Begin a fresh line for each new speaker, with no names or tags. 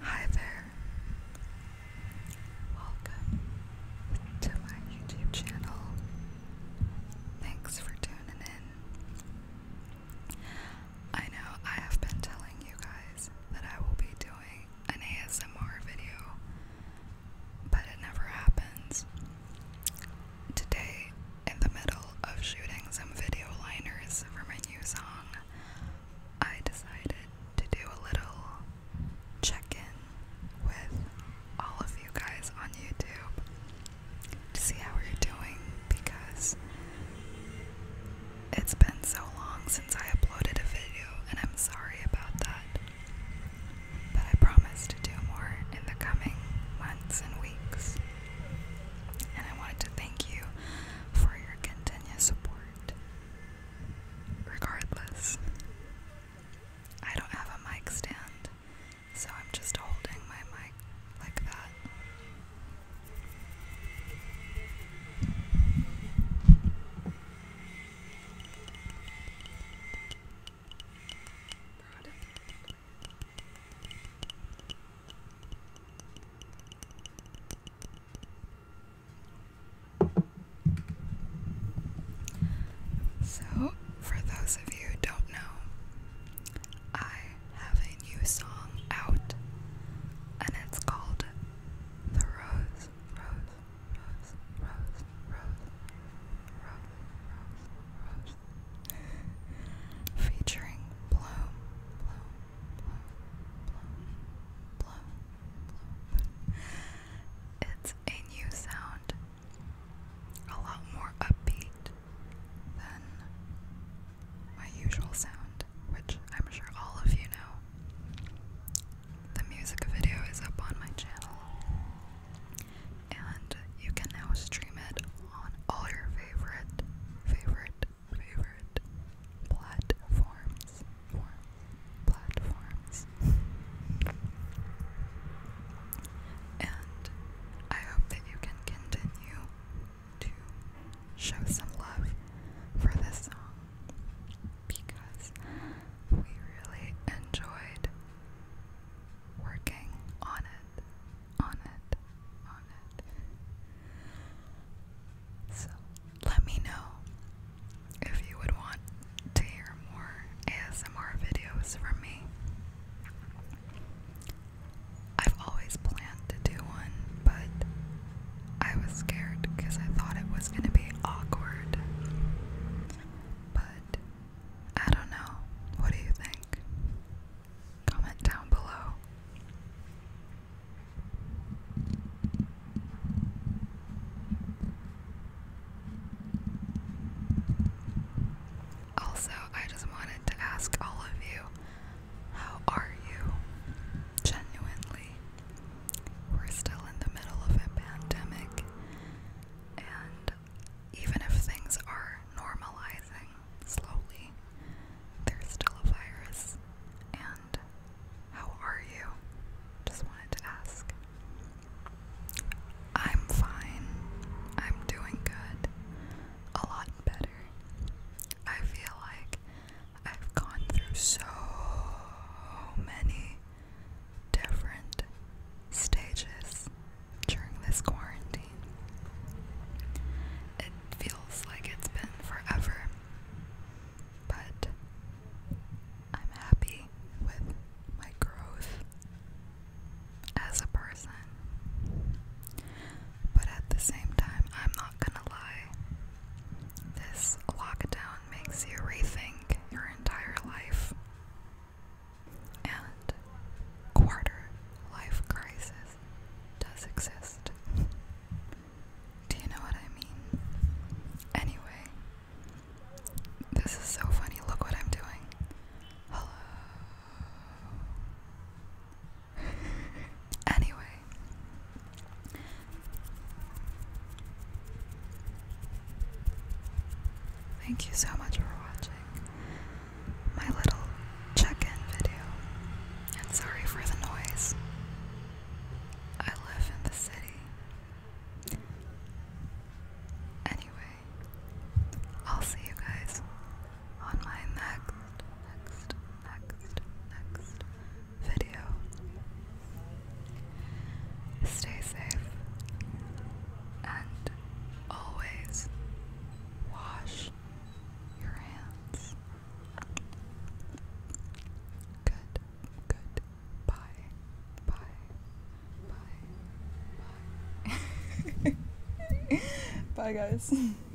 Hi there. Welcome to my YouTube channel. Thanks for tuning in. I know I have been telling you guys that I will be doing an ASMR video, but it never happens. Today, in the middle of shooting some video liners for my new song, I decided to do a little check in with all of you guys on YouTube to see how you're doing because it's been so long since I uploaded a video, and I'm sorry about that. But I promised to do more in the coming months and weeks. And I wanted to thank you for your continuous support. Regardless, I don't have a mic stand, so I'm just holding my mic like that. So, for those of you who don't know, I have a new song out, and it's called The Rose, featuring Bloom. It's a new sound, a lot more upbeat than my usual sound, which I'm sure all of you know. The music video is up on my channel and you can now stream it on all your favorite, favorite, favorite platforms. platforms. And I hope that you can continue to show some love for this song because we really enjoyed working on it, on it, on it. So let me know if you would want to hear more ASMR videos from me. I've always planned to do one, but I was scared because I thought it was going to be awkward. But I don't know. What do you think? Comment down below. Also, I just wanted to ask all of you, how are you? Genuinely, we're still in the middle of a pandemic, and even if things are normalizing slowly, there's still a virus. And how are you? Just wanted to ask. I'm fine. I'm doing good. A lot better. I feel like I've gone through so many different stages during this quarantine. It feels like it's been forever, but I'm happy with my growth as a person. But at the same time, I'm not gonna lie. This lockdown makes you rethink your entire life and quarter life crisis does exist. Do you know what I mean? Anyway, this is so funny. Look what I'm doing. Hello anyway. Thank you so much for watching my little check-in video. And sorry for the noise. I live in the city. Anyway, I'll see you guys on my next next next, next video. Stay safe and always wash your hands. Good, good. Bye, bye, bye, bye. bye, guys.